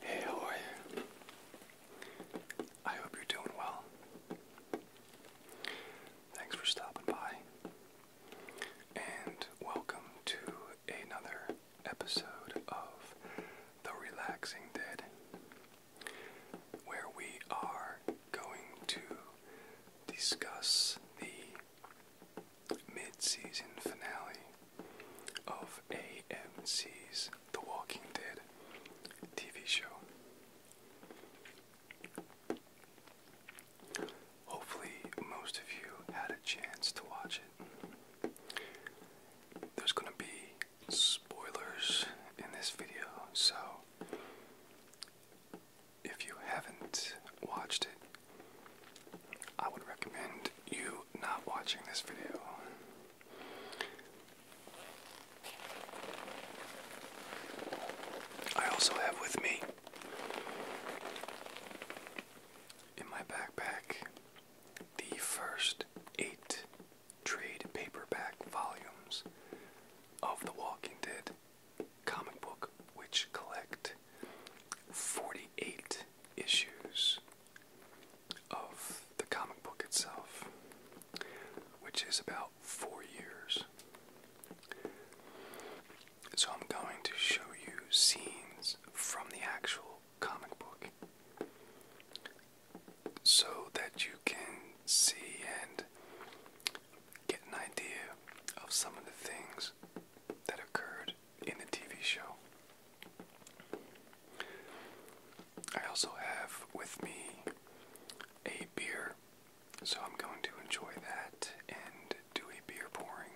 Hey, I hope you're doing well. Thanks for stopping by. And welcome to another episode of The Relaxing Dead where we are going to discuss the mid season finale of AMC's The Walking Dead TV show. Hopefully, most of you had a chance to watch it. There's going to be spoilers in this video, so if you haven't watched it, I would recommend you not watching this video. I also have with me in my backpack the first eight trade paperback volumes of The Walking Dead comic book, which collect 48 issues of the comic book itself, which is about four years. So I'm going to show you scenes from the actual comic book so that you can see and get an idea of some of the things that occurred in the TV show. I also have with me a beer, so I'm going to enjoy that and do a beer pouring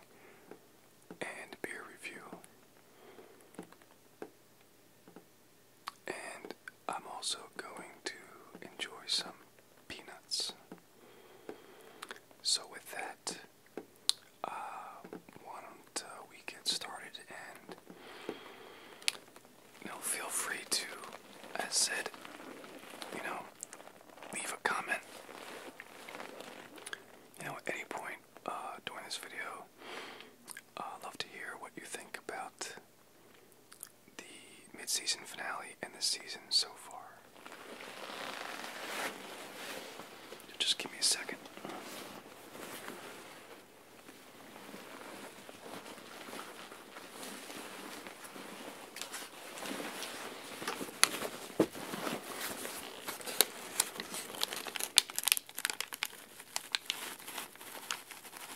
and beer review. And I'm also going to enjoy some peanuts. So, with that, uh, why don't uh, we get started? And you know, feel free to, as said, you know, leave a comment. You know, at any point uh, during this video, i love to hear what you think about the mid-season finale and the season so far. Just give me a second.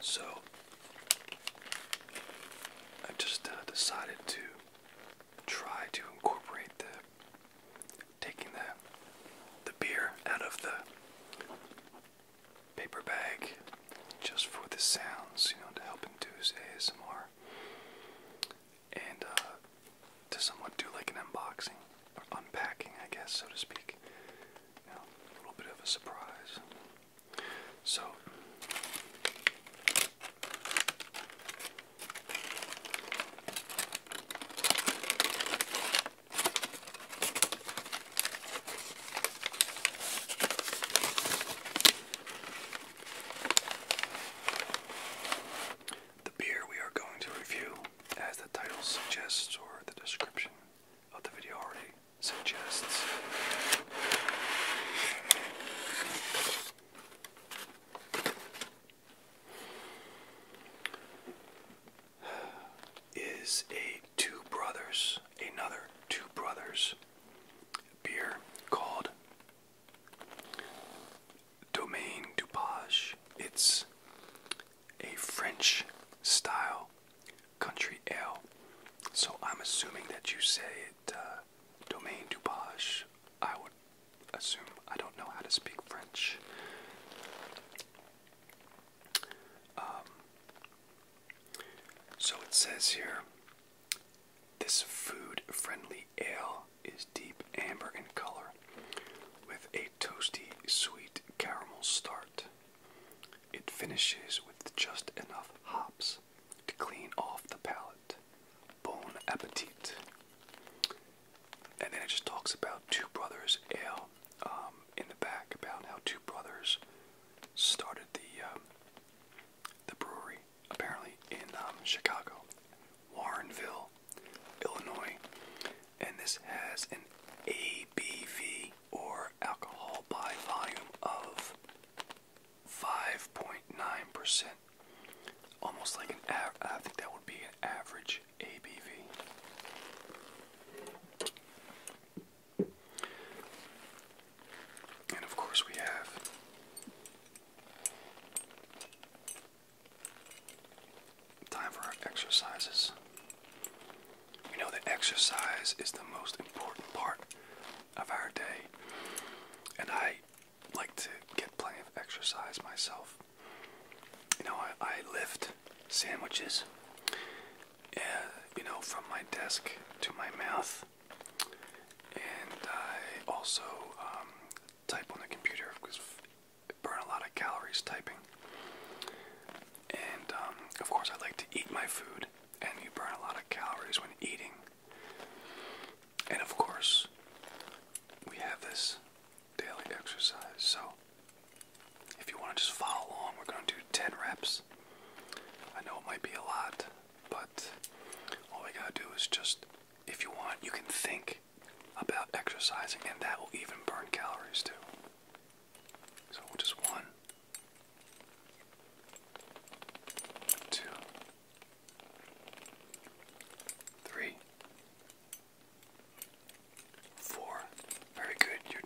So I just uh, decided to try to incorporate the taking the the beer out of the paper bag just for the sounds, you know, to help induce ASMR and uh, to somewhat do like an unboxing or unpacking, I guess, so to speak a little bit of a surprise. So, the beer we are going to review, as the title suggests or the description, of the video already suggests. Is a two brothers, another two brothers beer called Domaine du It's a French style country ale. So I'm assuming that you say it uh, Domaine du Page. I would assume. I don't know how to speak French. Um, so it says here this food friendly ale is deep amber in color with a toasty, sweet caramel start. It finishes with just enough hops to clean off the palate. Bon appetit. And then it just talks about Two Brothers Ale um, in the back, about how Two Brothers started the um, the brewery apparently in um, Chicago, Warrenville, Illinois, and this has an ABV or alcohol by volume of 5.9%. Almost like an I think that would be an average ABV. And of course we have Time for our exercises. We know that exercise is the most important part of our day, and I like to get plenty of exercise myself. You know, I, lift sandwiches, uh, you know, from my desk to my mouth, and I also um, type on the computer because burn a lot of calories typing. And um, of course, I like to eat my food, and you burn a lot of calories when eating. And of course, we have this daily exercise. So, if you want to just follow along, we're going to do 10 reps. I know it might be a lot, but all we got to do is just, if you want, you can think about exercising, and that will even burn calories too. So just one, two, three, four. Very good. You're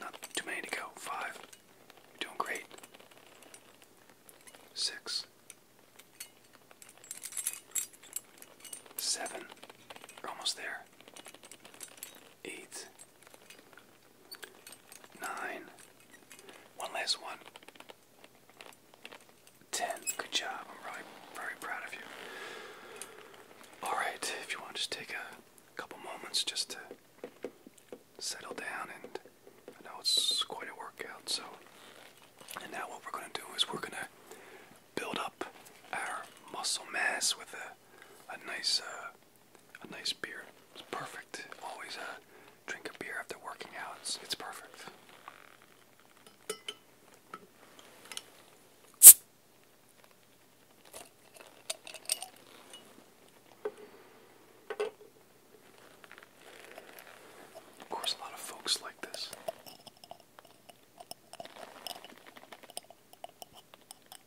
not too many to go. Five. You're doing great. Six. Seven. You're almost there four, eight, nine. One last one, ten. Good job. I'm really very proud of you. Alright, if you want to just take a couple moments just to settle down and I know it's quite a workout, so and now what we're gonna do is we're gonna build up our muscle mass with a a nice uh, a nice beer. It's perfect. Always uh, drink a beer after working out. It's, it's perfect. Of course, a lot of folks like this.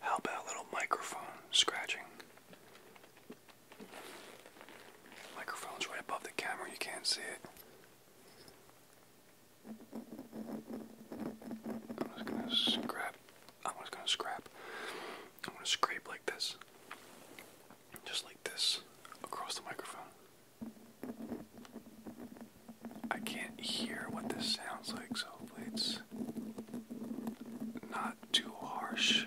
How about a little microphone scratching? Microphone's right above the camera, you can't see it. I'm just gonna scrap. I'm just gonna scrap. I'm gonna scrape like this. Just like this. Across the microphone. I can't hear what this sounds like, so it's not too harsh.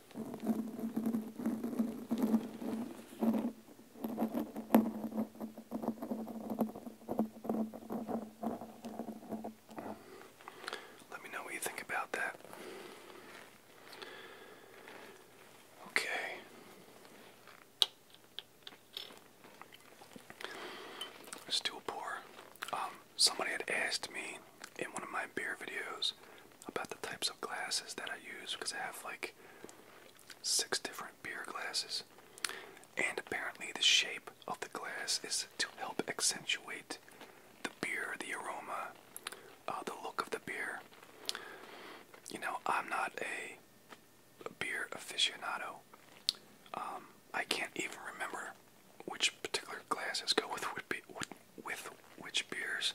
Let me know what you think about that. Okay. Let's um, somebody had asked me in one of my beer videos about the types of glasses that I use because I have like six different beer glasses. And apparently, the shape of the glass is to help accentuate the beer, the aroma, uh, the look of the beer. You know, I'm not a, a beer aficionado. Um, I can't even remember which particular glasses go with with, with, with which beers.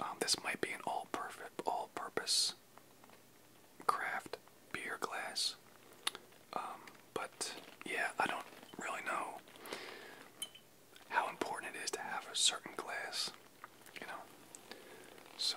Um, this might be an all-perfect, all-purpose craft beer glass. Um, but yeah, I don't really know how important it is to have a certain glass, you know. So.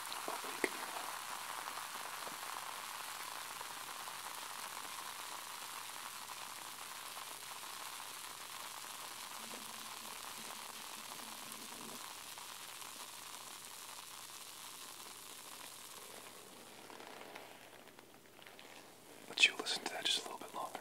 open But you'll listen to that just a little bit longer.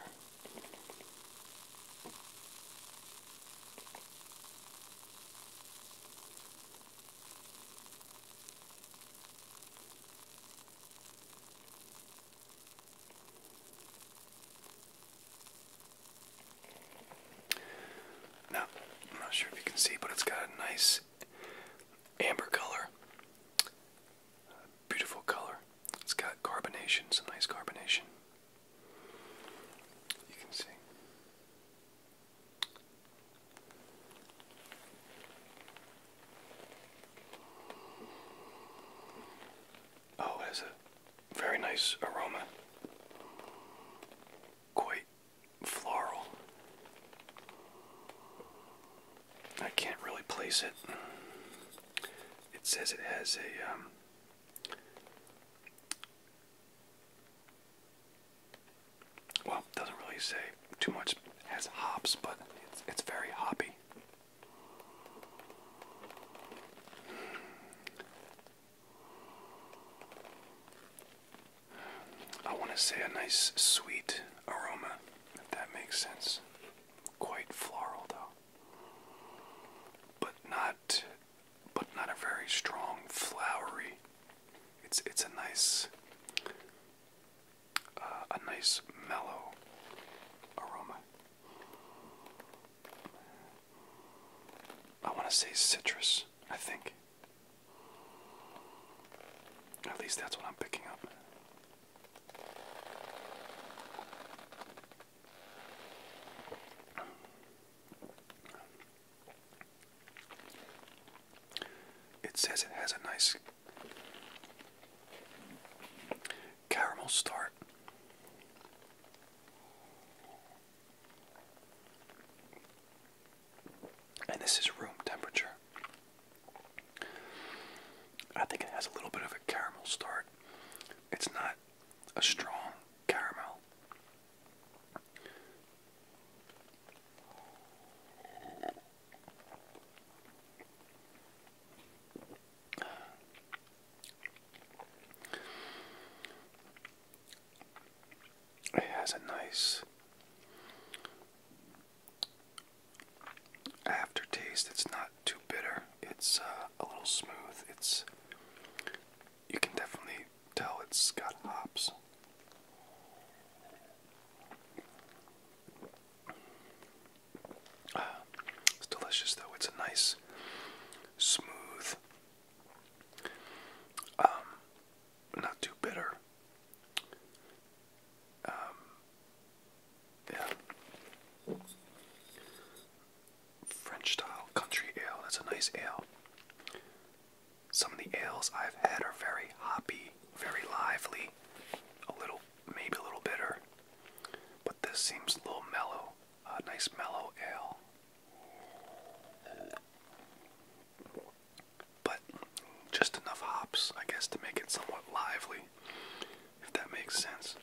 Now, I'm not sure if you can see, but it's got a nice amber color. Beautiful color. It's got carbonation, some nice carbonation. You can see. Oh, it has a very nice aroma. Quite floral. I can't really place it. It says it has a um, well, doesn't really say too much as hops, but it's, it's very hoppy. I want to say a nice sweet aroma, if that makes sense. Quite floral, though. But not but not a very strong flowery. It's it's a nice uh, a nice mellow aroma. I want to say citrus, I think. At least that's what I'm picking up. It says it has a nice caramel start. And this is room temperature. I think it has a little bit of a caramel start. It's not a strong caramel. It has a nice aftertaste. It's not too bitter. It's uh, a little smooth. It's you can definitely tell it's got hops. Ah, it's delicious though. It's a nice, smooth, um, not too bitter. Um, yeah. French style country ale. That's a nice ale. Some of the ales I've had are very hoppy, very lively, a little, maybe a little bitter, but this seems a little mellow. A nice mellow ale. But just enough hops, I guess, to make it somewhat lively, if that makes sense.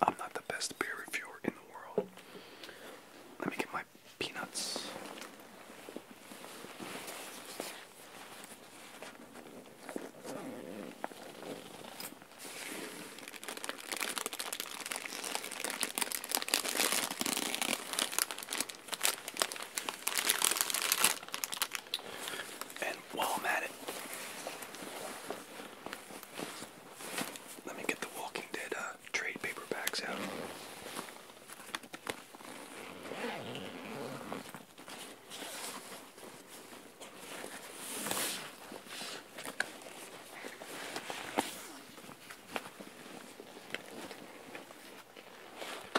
I'm not the best beer reviewer in the world, let me get my peanuts. And while I'm at it, let me get the Walking Dead uh, trade paperbacks out.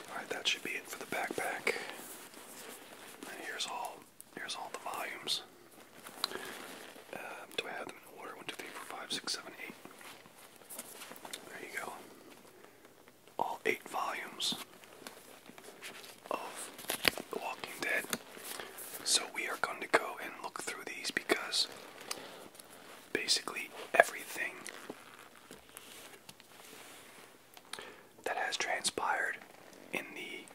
Alright, that should be it for the backpack. here's all here's all the volumes. Um, do I have them in order? 1, There you go. All eight volumes of The Walking Dead. So we are going to go and look through these because basically everything that has transpired in the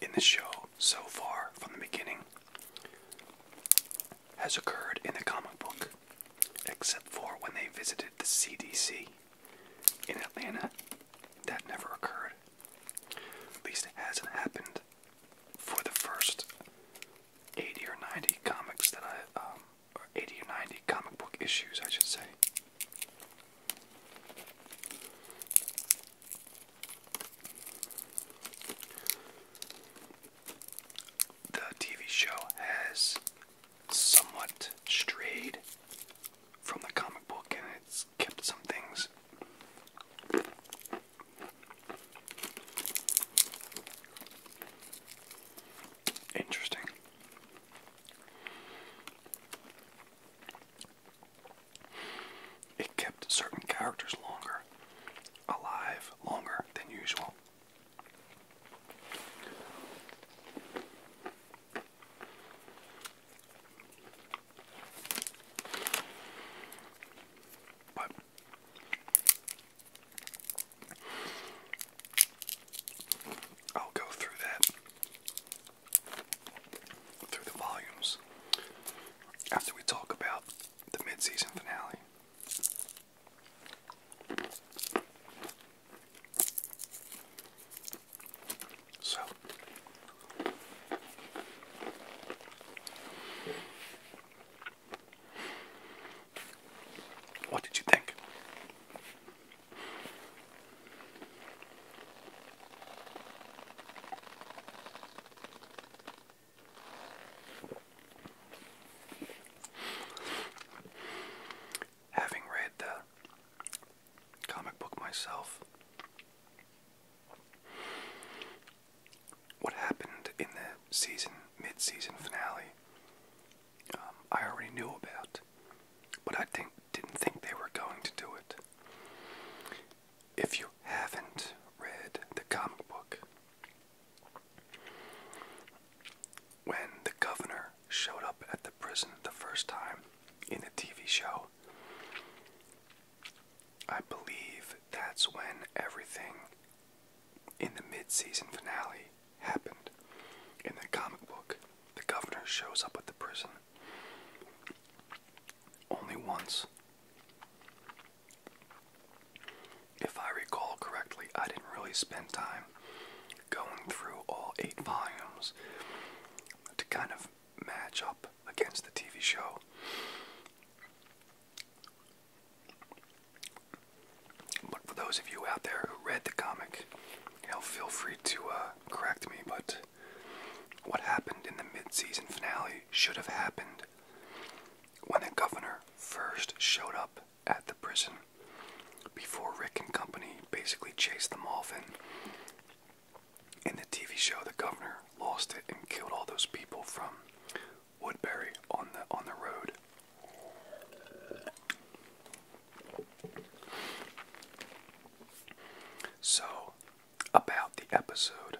in the show so far from the beginning has occurred in the comic book, except for when they visited the CDC in Atlanta. That never occurred. At least it hasn't happened for the first 80 or 90 comics that I um, or 80 or 90 comic book issues, I should say. The TV show has somewhat strayed from the comic book and it's kept some things. Interesting. It kept certain characters longer, alive longer than usual. But I'll go through that through the volumes after we talk about the mid-season finale. So what did you think? Having read the comic book myself, what happened in the season mid-season finale um, I already knew about, but I didn't think they were going to do it. If you haven't read the comic book, when the governor showed up at the prison the first time in the TV show, I believe that's when everything in the mid season finale happened. In the comic book, the governor shows up at the prison only once. If I recall correctly, I didn't really spend time going through all eight volumes to kind of match up against the TV show. But for those of you out there who read the comic, you feel free to uh, correct me, but what happened in the mid-season finale should have happened when the governor first showed up at the prison before Rick and company basically chased them off and in the TV show the governor lost it and killed all those people from Woodbury on the on the road. So, about the episode,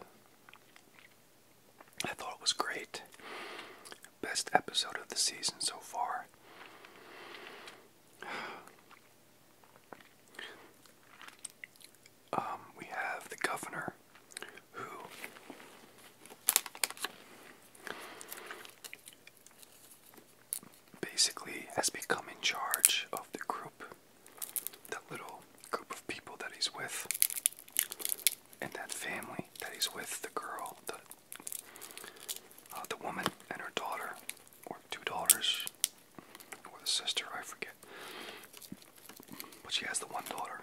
I thought it was great. Best episode of the season so far. Um, we have the governor who basically has become in charge of the group, that little group of people that he's with, and that family that he's with the girl, the, uh, the woman, and her daughter, or two daughters, or the sister, I forget. But she has the one daughter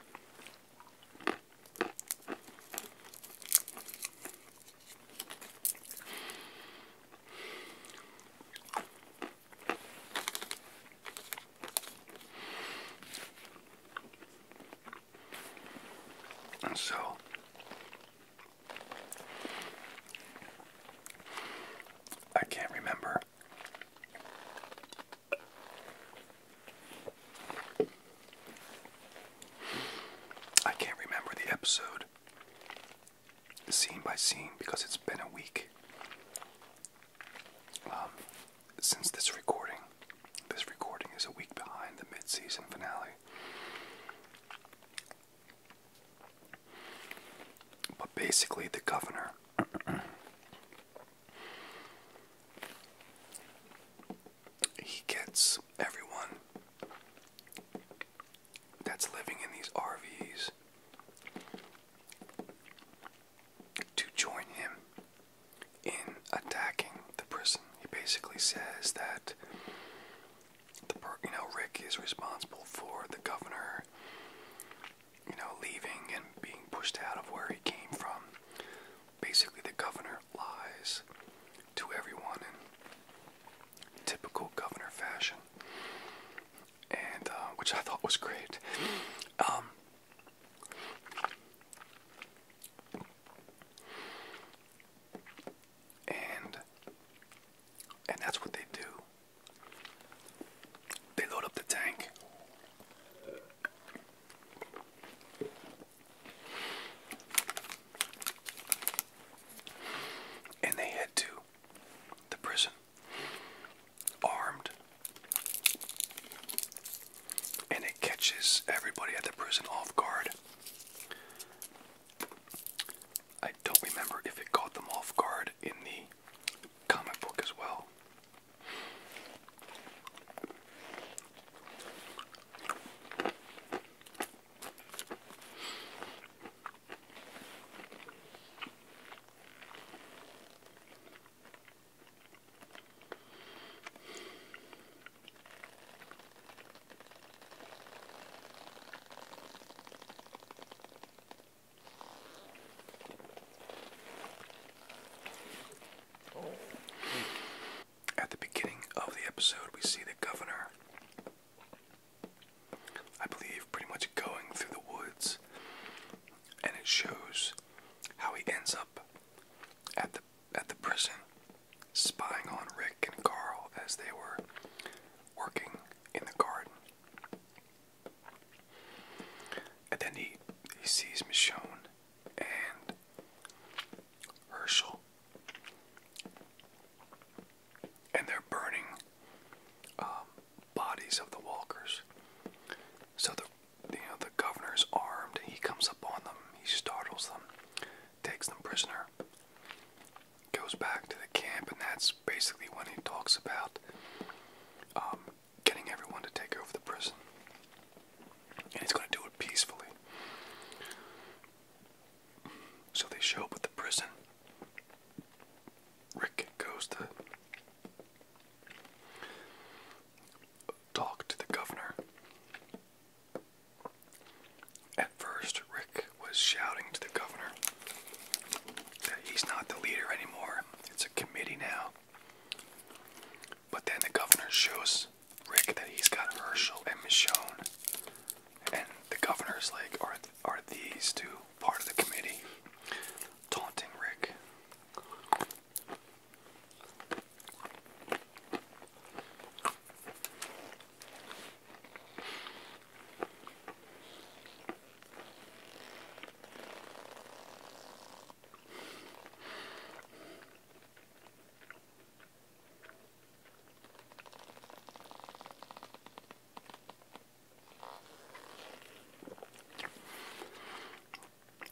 so I can't remember I can't remember the episode scene by scene because it's been a week um, since this recording. This recording is a week behind the mid season finale. But basically, the governor. he gets everyone that's living in these RVs to join him in attacking the prison. He basically says that the you know Rick is responsible for the governor you know leaving and being pushed out of where he came from. Basically, the governor lies to everyone typical governor fashion, and uh, which I thought was great. Um, and and that's what they do. They load up the tank. And they head to the prison armed. And it catches everybody at the prison off guard. I don't remember if it caught them off guard in the comic book as well. At the beginning of the episode, we see the governor I believe, pretty much going through the woods, and it shows how he ends up at the at the prison, spying on Rick and Carl as they were working in the garden. And then he he sees Michonne and Herschel and they're burning um, bodies of the walkers. So the you know the governor's armed. He comes upon them. He startles them, takes them prisoner, goes back to the camp, and that's basically when he talks about um, getting everyone to take over the prison. And he's going to do it peacefully. So they show up at the prison. Rick goes to talk to the governor. At first, Rick was shouting to the governor that he's not the leader anymore, it's a committee now. But then the governor shows Rick that he's got Herschel and Michonne, and the governor's like, Alright, are these two part of the committee? Taunting Rick.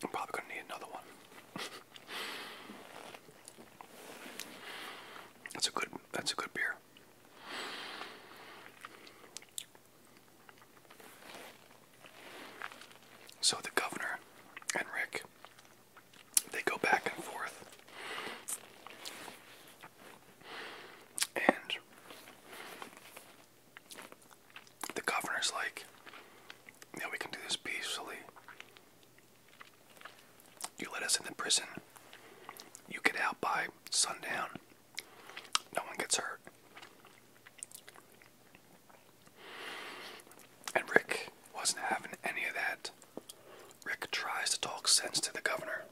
I'm probably gonna need another one. that's a good that's a good beer. So the governor and Rick they go back and forth and the governor's like, yeah, we can do this peacefully. You let us into prison. You get out by sundown. No one gets hurt. And Rick wasn't having any of that. Rick tries to talk sense to the governor.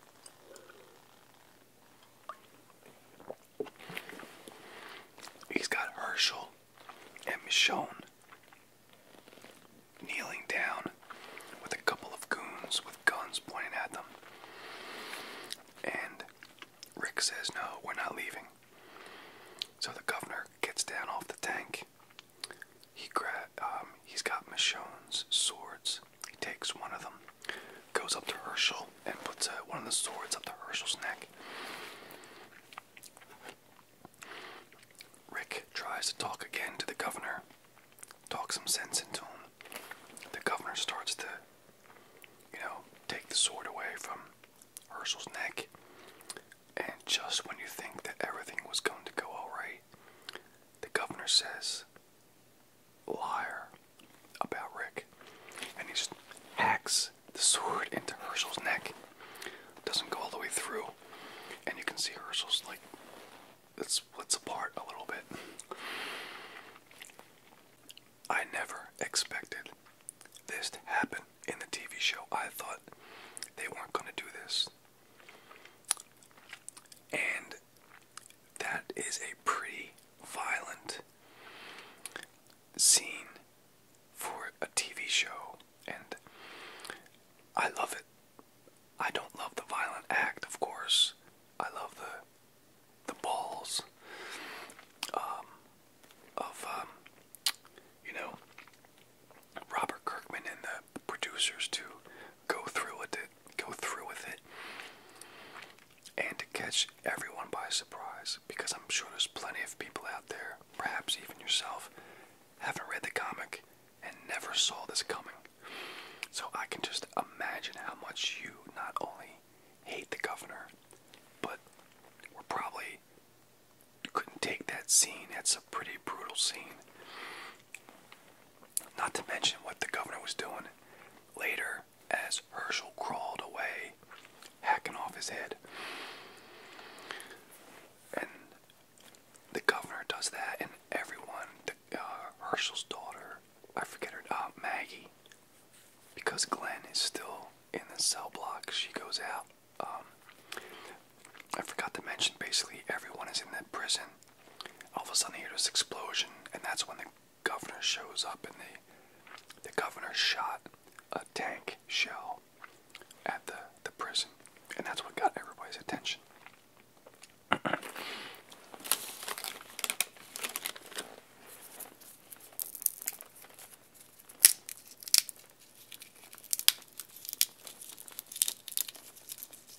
He's got Herschel and Michonne kneeling down with a couple of goons with guns pointing at them. And Rick says, No, we're not leaving. So the governor gets down off the tank. He um, he's got Michonne's swords he takes one of them, goes up to Herschel, and puts uh, one of the swords up to Herschel's neck. Rick tries to talk again to the governor, talk some sense into him. The governor starts to, you know, take the sword away from Herschel's neck. And just when you think that everything was going to go alright, the governor says, liar about Rick. And he just hacks the sword into Herschel's neck. Doesn't go all the way through. And you can see Herschel's like, it splits apart a little bit. I never expected this to happen in the TV show. I thought they weren't going to do this. And that is a pretty violent scene for a TV show, and I love it. I don't love the violent act, of course. I love the the balls um, of um, you know Robert Kirkman and the producers to go through with it go through with it and to catch everyone by surprise because I'm sure there's plenty of people out there, perhaps even yourself, haven't read the comic and never saw this coming. So I can just imagine how much you not only hate the governor, but were probably couldn't take that scene. That's a pretty brutal scene. Not to mention what the governor was doing later as Herschel crawled away, hacking off his head. And the governor does that, and everyone, the, uh, Herschel's daughter, I forget her, name, uh, Maggie, because Glenn is still in the cell block, she goes out. Um, I forgot to mention basically everyone is in that prison all of a sudden, they hear this explosion, and that's when the governor shows up, and they, the governor shot a tank shell at the, the prison, and that's what got everybody's attention.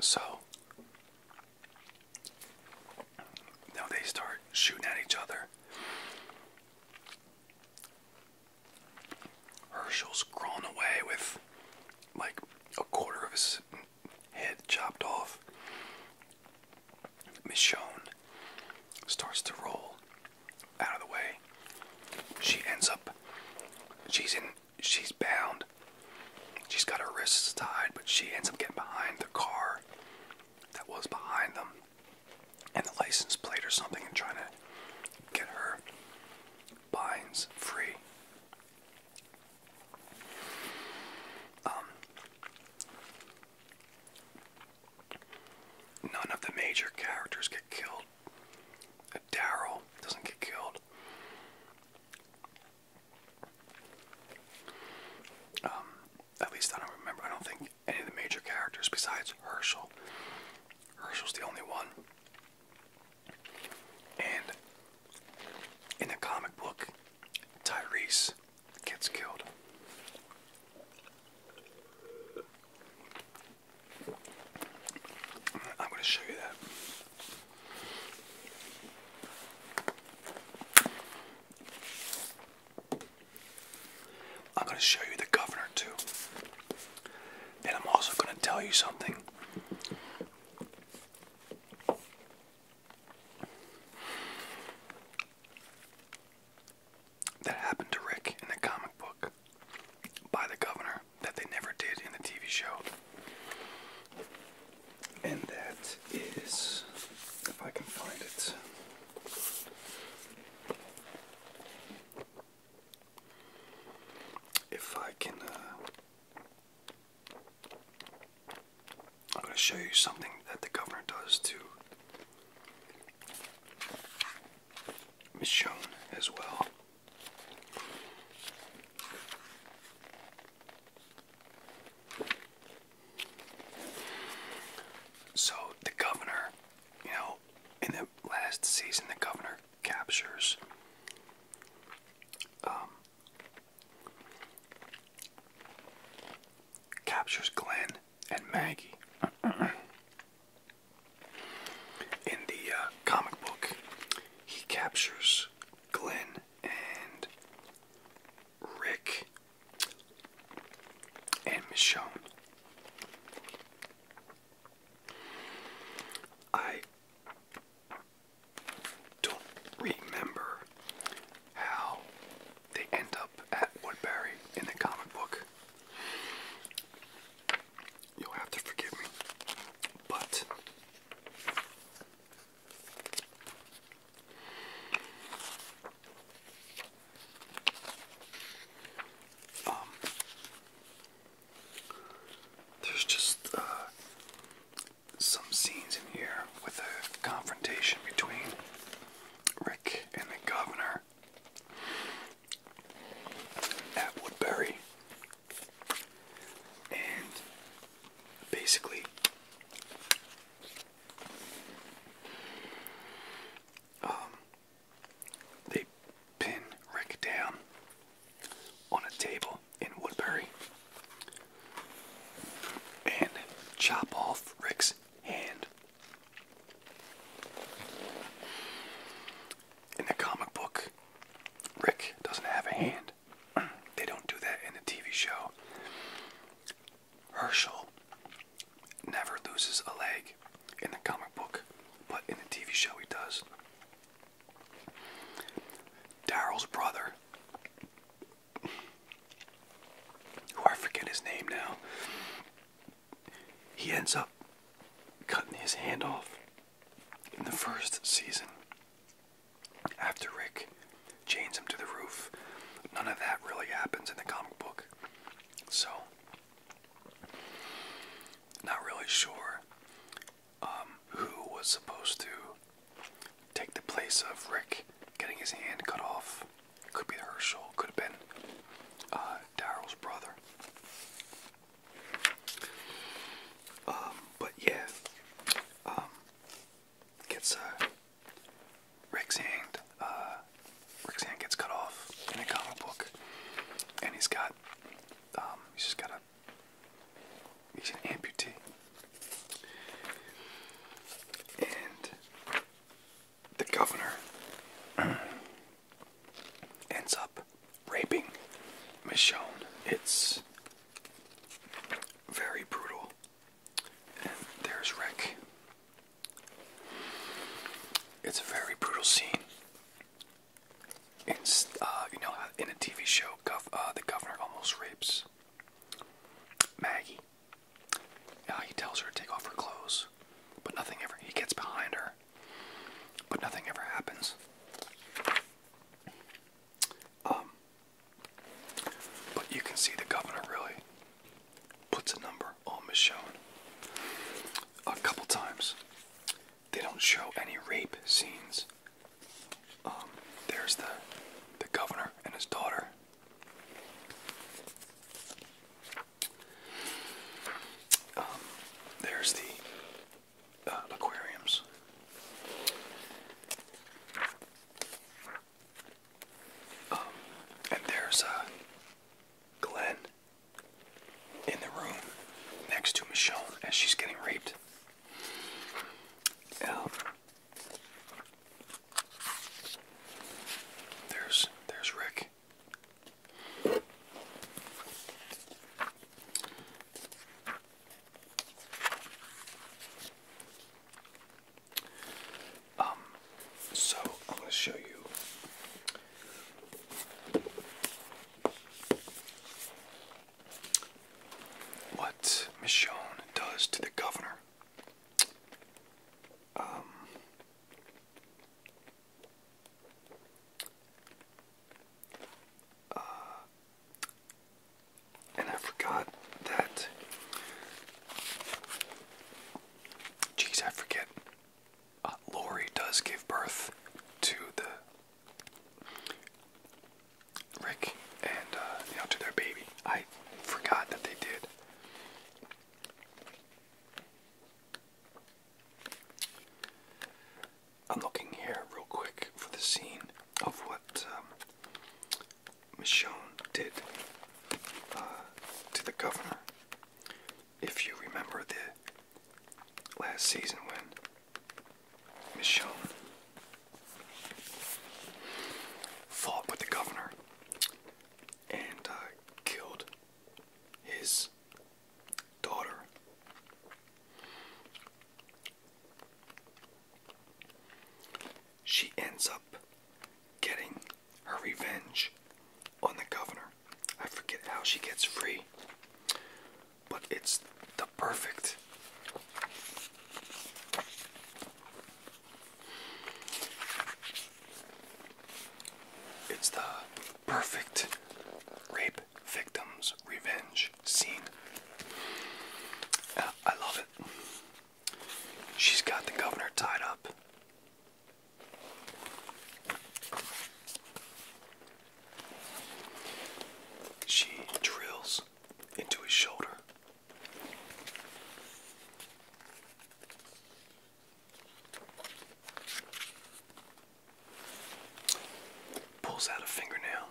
So now they start shooting at each other. Herschel's crawling away with like a quarter of his head chopped off. Miss Michonne starts to roll out of the way. She ends up she's in she's bound. She's got her wrists tied, but she ends up getting behind the car that was behind them and the license plate or something and trying to get her binds free. Um, None of the major characters get killed. Daryl doesn't get killed. Um, at least I don't remember. I don't think any of the major characters besides Herschel. Herschel's the only one. And in the comic book, Tyrese gets killed. I'm going to show you that. I'm going to show you the governor too. And I'm also going to tell you something that happened to Rick in the comic book by the governor that they never did in the TV show. And that is, if I can find it. If I can uh, I'm going to show you something that the governor does to Michonne as well. So the governor, you know, in the last season, the governor captures um, captures Glenn and Maggie. In the uh, comic book, he captures Glenn and Rick and Michonne. I don't remember how they end up at Woodbury in the comic book. You'll have to forgive me, but um, there's just uh, some scenes in here with a confrontation between Rick and the governor at Woodbury, and basically um, they pin Rick down on a table in Woodbury and chop off Rick's hand. In the comic book, Rick doesn't have a hand. They don't do that in the TV show. Herschel never loses a leg in the comic book, but in the TV show he does. Daryl's brother who I forget his name now, he ends up cutting his hand off in the first season. After Rick chains him to the roof, none of that really happens in the comic book. So, not really sure um, who was supposed to take the place of Rick getting his hand cut off. Could be Herschel, could have been uh, Daryl's brother. Um, but yeah, um, gets uh, Rick's hand. Uh, Rick's hand gets cut off in a comic book, and he's got, um, he's just got a, he's an amputee. And the governor ends up raping Michonne. It's very brutal. And there's Rick. It's a very brutal scene. In, uh, you know, in a TV show, uh, the governor almost rapes Maggie. Yeah, he tells her to take off her clothes, but nothing ever. He gets behind her, but nothing ever happens. Um, but you can see the governor really puts a number on Michelle. a couple times. They don't show any rape scenes. Um, there's the the governor and his daughter um, there's the uh, aquariums. Um, and there's uh, Glenn in the room next to Michelle as she's getting raped. Um, there's there's Rick. Um so I'm going to show you what Michonne does to the governor um, uh, and I forgot that. Jeez, I forget. Uh, Lori does give birth to the Rick and uh, to their baby. I forgot that they did. I'm looking here real quick for the scene of what um, Michonne did uh, to the governor. If you remember the last season when Michonne fought with the governor and uh, killed his daughter. She ends up getting her revenge on the governor. I forget how she gets free, but it's the perfect it's the perfect rape victims' revenge scene. Uh, I love it. She's got the governor tied up. She drills into his shoulder Pulls out a fingernail.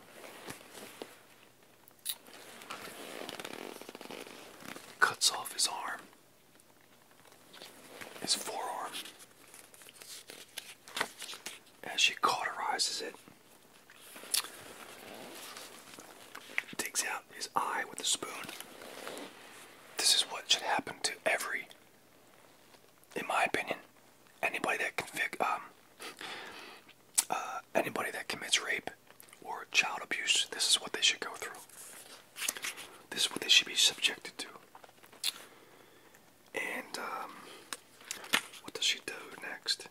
Cuts off his arm, his forearm, as she cauterizes it. Digs out out his eye with a spoon. This is what should happen to every, in my opinion, anybody that can um, uh, anybody that commits rape or child abuse. This is what they should go through. This is what they should be subjected to. And um, what does she do next?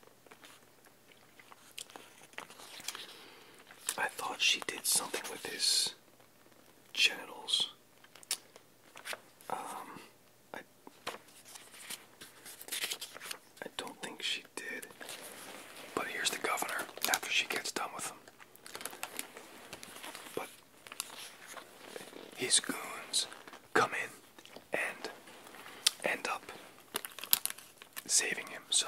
I thought she did something with his genitals. Um, I I don't think she did. But here's the governor after she gets done with him. But his goons come in and end up saving him. So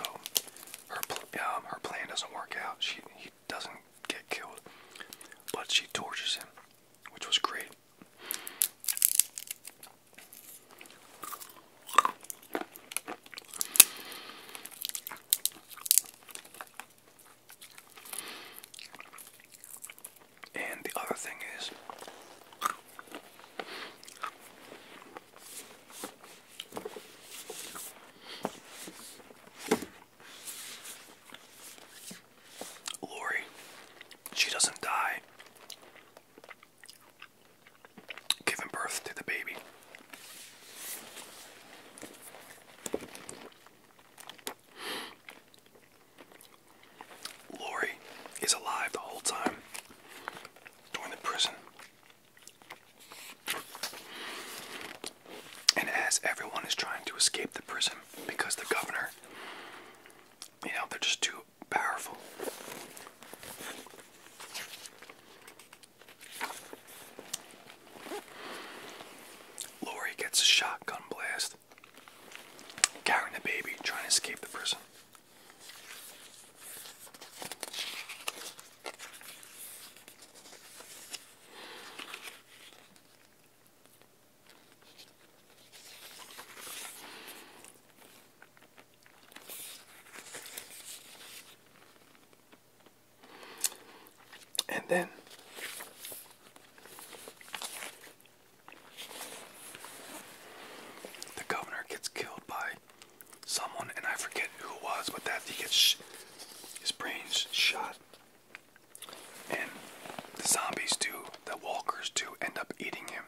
um, her plan doesn't work out. She he doesn't get killed, but she tortures him, which was great. And the other thing is Lori, she doesn't die giving birth to the baby. Lori is alive the whole time during the prison and as everyone is trying to escape the prison because the governor, you know, they're just too powerful. Lori gets a shotgun blast, carrying the baby, trying to escape the prison. And then the governor gets killed by someone, and I forget who it was, but that he gets his brains shot. And the zombies do, the walkers do, end up eating him.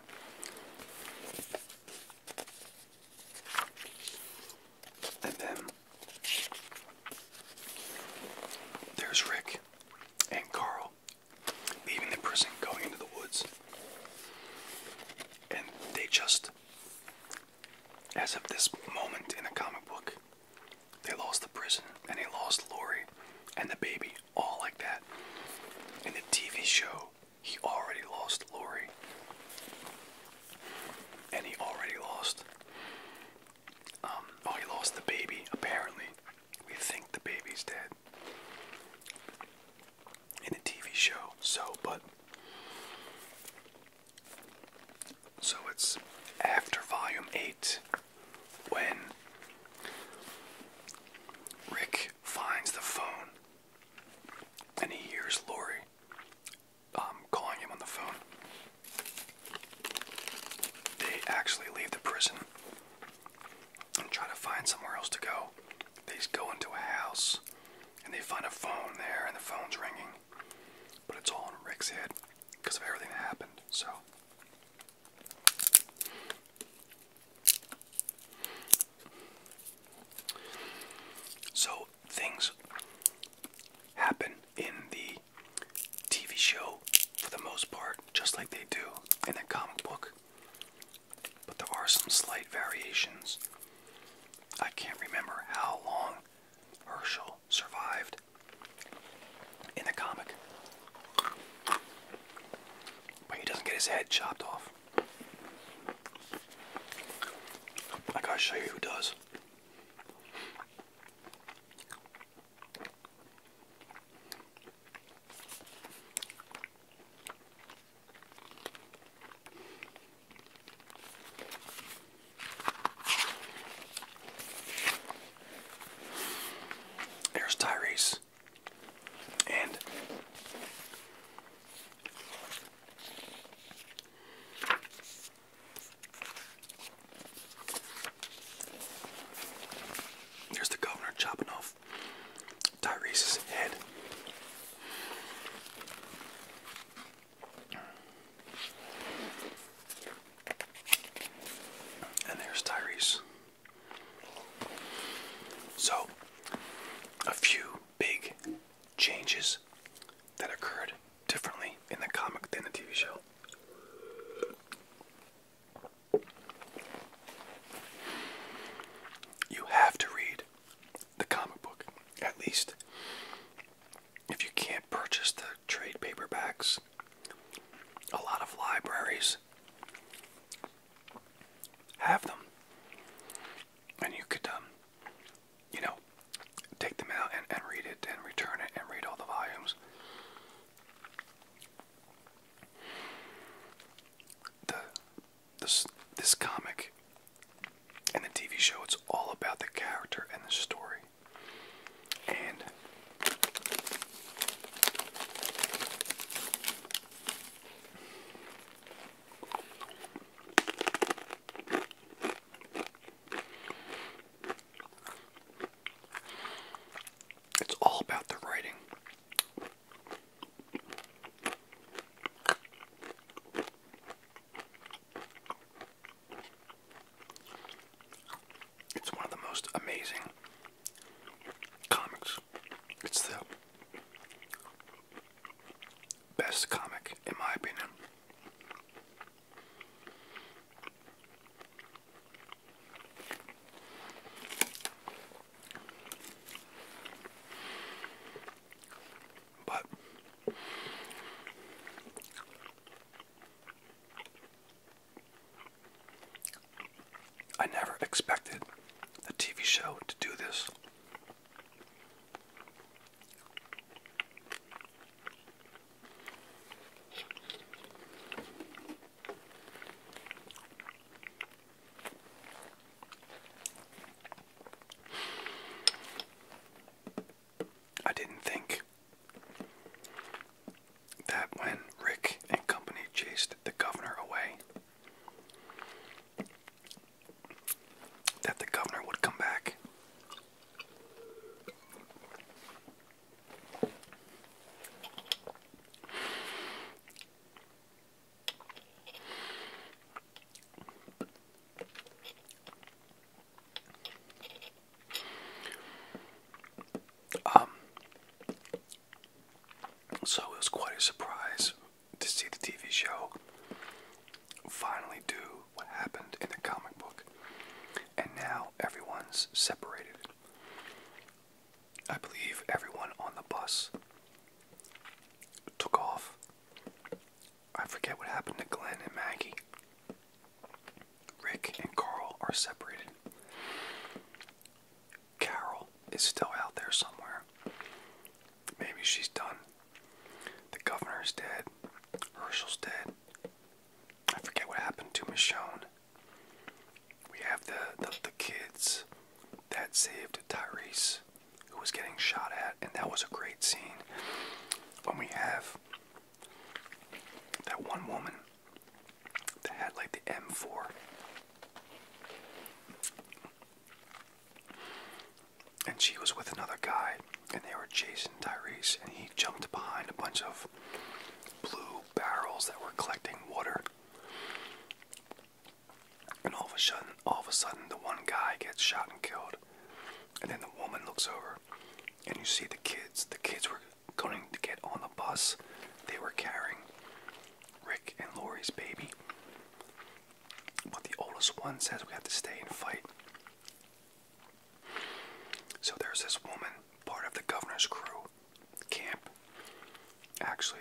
And then there's Rick and Carl leaving the prison, going into the woods. And they just as of this moment in a comic book. They lost the prison and they lost Lori and the baby, all like that. In the TV show, he already lost Lori. And he already lost. Um, oh, he lost the baby, apparently. We think the baby's dead. In the TV show, so, but so it's after volume 8 when Rick finds the phone and he hears Lori um, calling him on the phone. They actually leave the prison and try to find somewhere else to go. They go into a house and they find a phone there, and the phone's ringing. But it's all in Rick's head because of everything that happened. So. So things happen in the TV show for the most part, just like they do in the comic book. But there are some slight variations. I can't remember how long Herschel survived in the comic. But he doesn't get his head chopped off. I gotta show you who does. There's Tyrese. And there's the governor chopping off Tyrese's head. And there's Tyrese. So, a few big changes that occurred differently in the comic than the TV show. You have to read the comic book, at least. If you can't purchase the trade paperbacks, a lot of libraries have them, and you could, um, you know, take them out and, and read it and return it and read all the volumes. The this this comic in the TV show, it's all about the character and the story. And it's all about the writing. It's one of the most amazing comics. It's the best comic, in my opinion. But I never expected the TV show to do this. I didn't think that when Rick and company chased the governor away, that the governor would come back. Um, so it was quite a surprise to see the TV show finally do what happened in the comic book. And now everyone's separated. I believe everyone on the bus took off I forget what happened to Glenn and Maggie. Rick and Carl are separated. Carol is still out there somewhere. Maybe she's done. The governor's dead. Herschel's dead. I forget what happened to Michonne. We have the, the, the kids that saved Tyrese who was getting shot at, and that was a great scene. When we have that one woman that had like the M4, and she was with another guy, and they were chasing Tyrese, and he jumped behind a bunch of blue barrels that were collecting water. And all of a sudden, all of a sudden, the one guy gets shot and killed. And then the woman looks over and you see the kids. The kids were going to get on the bus. They were carrying Rick and Lori's baby. But the oldest one says we have to stay and fight. So there's this woman, part of the governor's crew, camp, actually,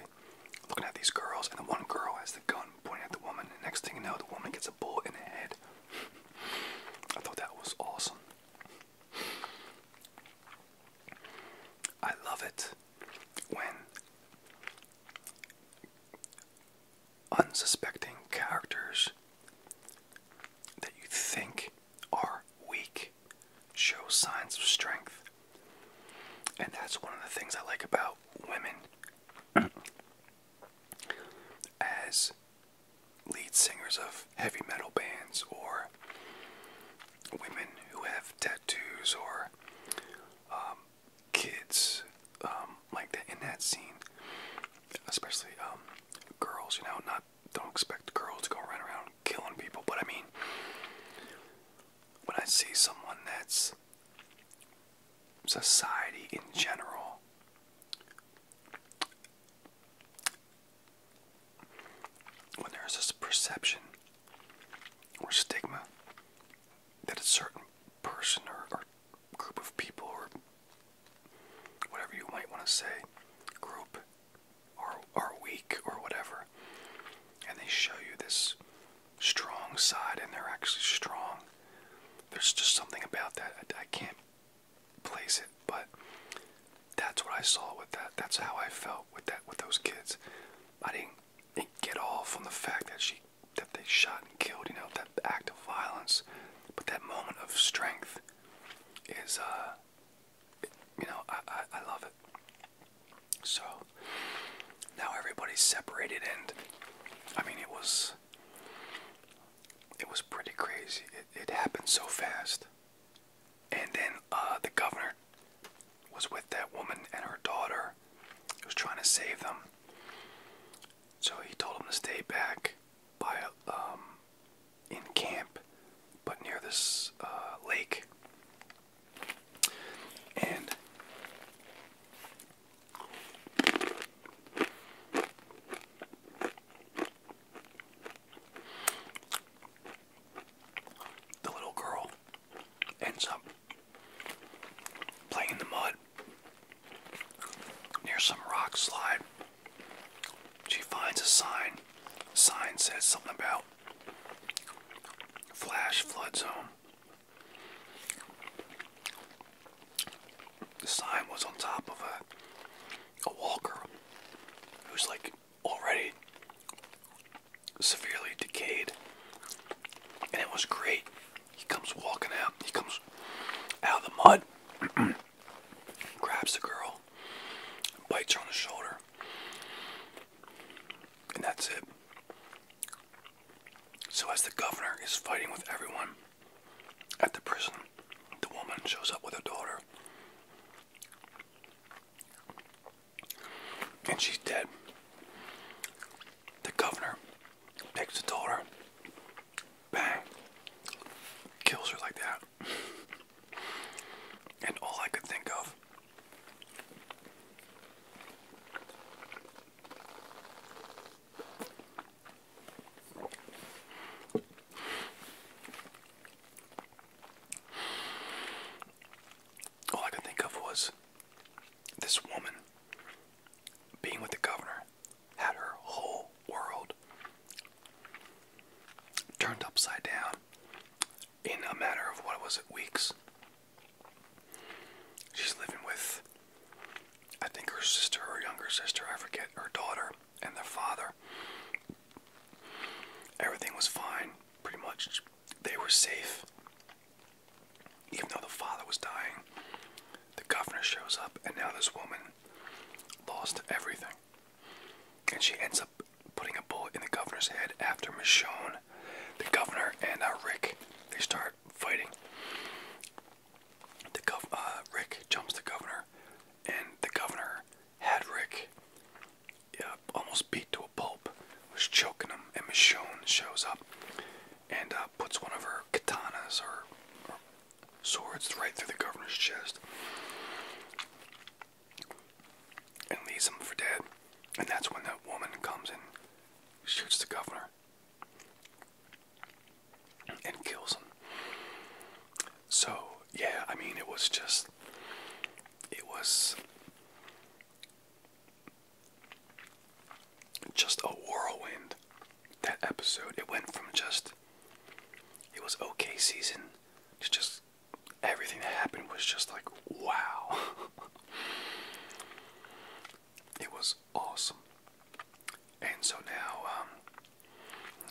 looking at these girls, and the one girl has the gun pointing at the woman. The next thing you know, the woman gets a bullet in the head. I thought that was awesome. I love it when unsuspecting characters that you think are weak show signs of strength. And that's one of the things I like about women as lead singers of heavy metal bands or women who have tattoos or um, kids um, like that in that scene especially um, girls you know not don't expect girls to go run around killing people but I mean when I see someone that's society in general. When there's this perception or stigma that a certain person or, group of people or whatever you might want to say, group, are, are weak or whatever, and they show you this strong side and they're actually strong there's just something about that. I, can't place it, but that's what I saw with that. That's how I felt with that with those kids. I didn't, get off on the fact that she that they shot and killed, you know, that act of violence. But that moment of strength is uh you know, I I love it. So now everybody's separated and I mean it was it was pretty crazy. It, happened so fast. And then uh, the governor was with that woman and her daughter. He was trying to save them. So he told them to stay back by um, in camp, but near this uh, lake. And the little girl ends up playing in the mud near some rock slide. She finds a sign. sign says something about flash flood zone. The sign was on top of a, a walker who's like already severely decayed. And it was great. He comes walking out, he comes out of the mud, grabs the girl, bites her on the shoulder, and that's it. So, as the governor is fighting with everyone, at the prison, the woman shows up with her daughter. And she's dead. The governor takes the daughter, bang, kills her like that. And all I could think of all I could think of was this woman being with the governor had her whole world turned upside down in a matter of what was it, weeks. She's living with I think her sister, her younger sister, I forget, her daughter and their father. Everything was fine, pretty much. They were safe. Even though the father was dying, the governor shows up, and now this woman lost everything. And she ends up putting a bullet in the governor's head after Michonne, the governor, and uh, Rick, they start fighting. Uh, Rick jumps the governor, and the governor had Rick almost beat to a pulp, was choking him, and Michonne shows up and uh, puts one of her katanas or, or swords right through the governor's chest and leaves him for dead. And that's when that woman comes and shoots the governor and kills him. So, yeah, I mean, it was just. It was. Just a whirlwind. That episode. It went from just. It was okay season to just. Everything that happened was just like, wow. it was awesome. And so now, um,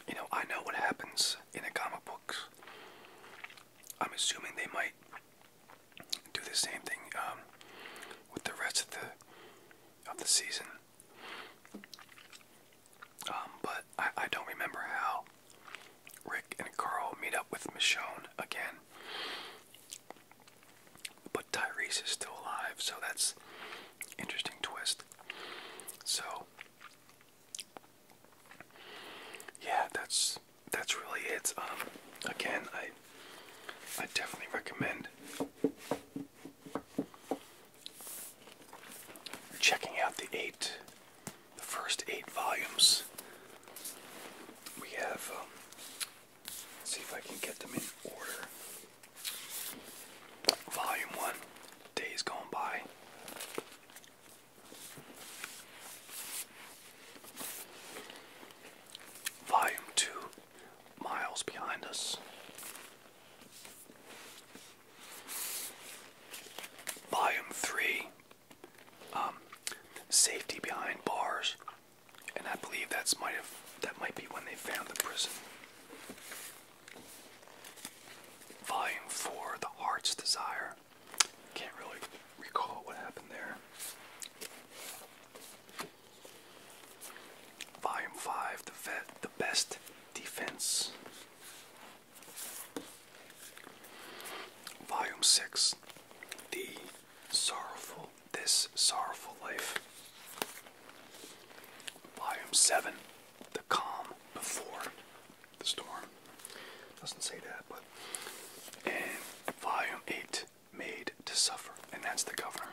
you know, I know what happens in the comic books. I'm assuming they might do the same thing um, with the rest of the of the season. Um, but I, don't remember how Rick and Carl meet up with Michonne again. Tyrese is still alive, so that's interesting twist. So yeah, that's that's really it. Um, again, I I definitely recommend checking out the eight, the first eight volumes. We have. Um, see if I can get them in order. Volume 1 Days Gone By. Volume 2 Miles Behind Us. Volume 3 um, Safety Behind Bars. And I believe that's might have that might be when they found the prison. Volume 4, The Heart's Desire. Can't really recall what happened there. Volume 5, The The Best Defense. Volume 6, The Sorrowful, This Sorrowful Life. Volume 7 The Calm Before the Storm. Doesn't say that, but. And Volume 8 Made to Suffer. And that's the governor.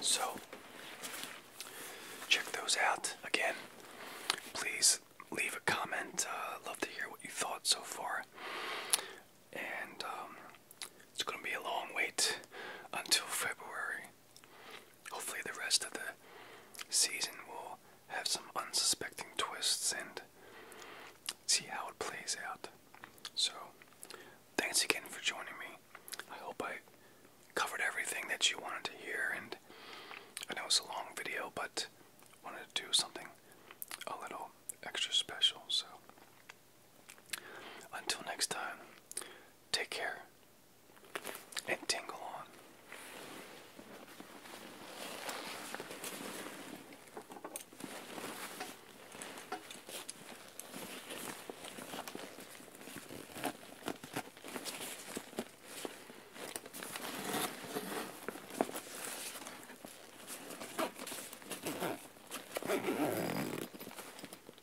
So, check those out again. Please leave a comment. Uh, love to hear what you thought so far and um, it's gonna be a long wait until February. Hopefully, the rest of the season will have some unsuspecting twists and see how it plays out. So, thanks again for joining me. I hope I covered everything that you wanted to hear, and I know it's a long video, but wanted to do something a little extra special. So, until next time, take care and tingle on.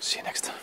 See you next time.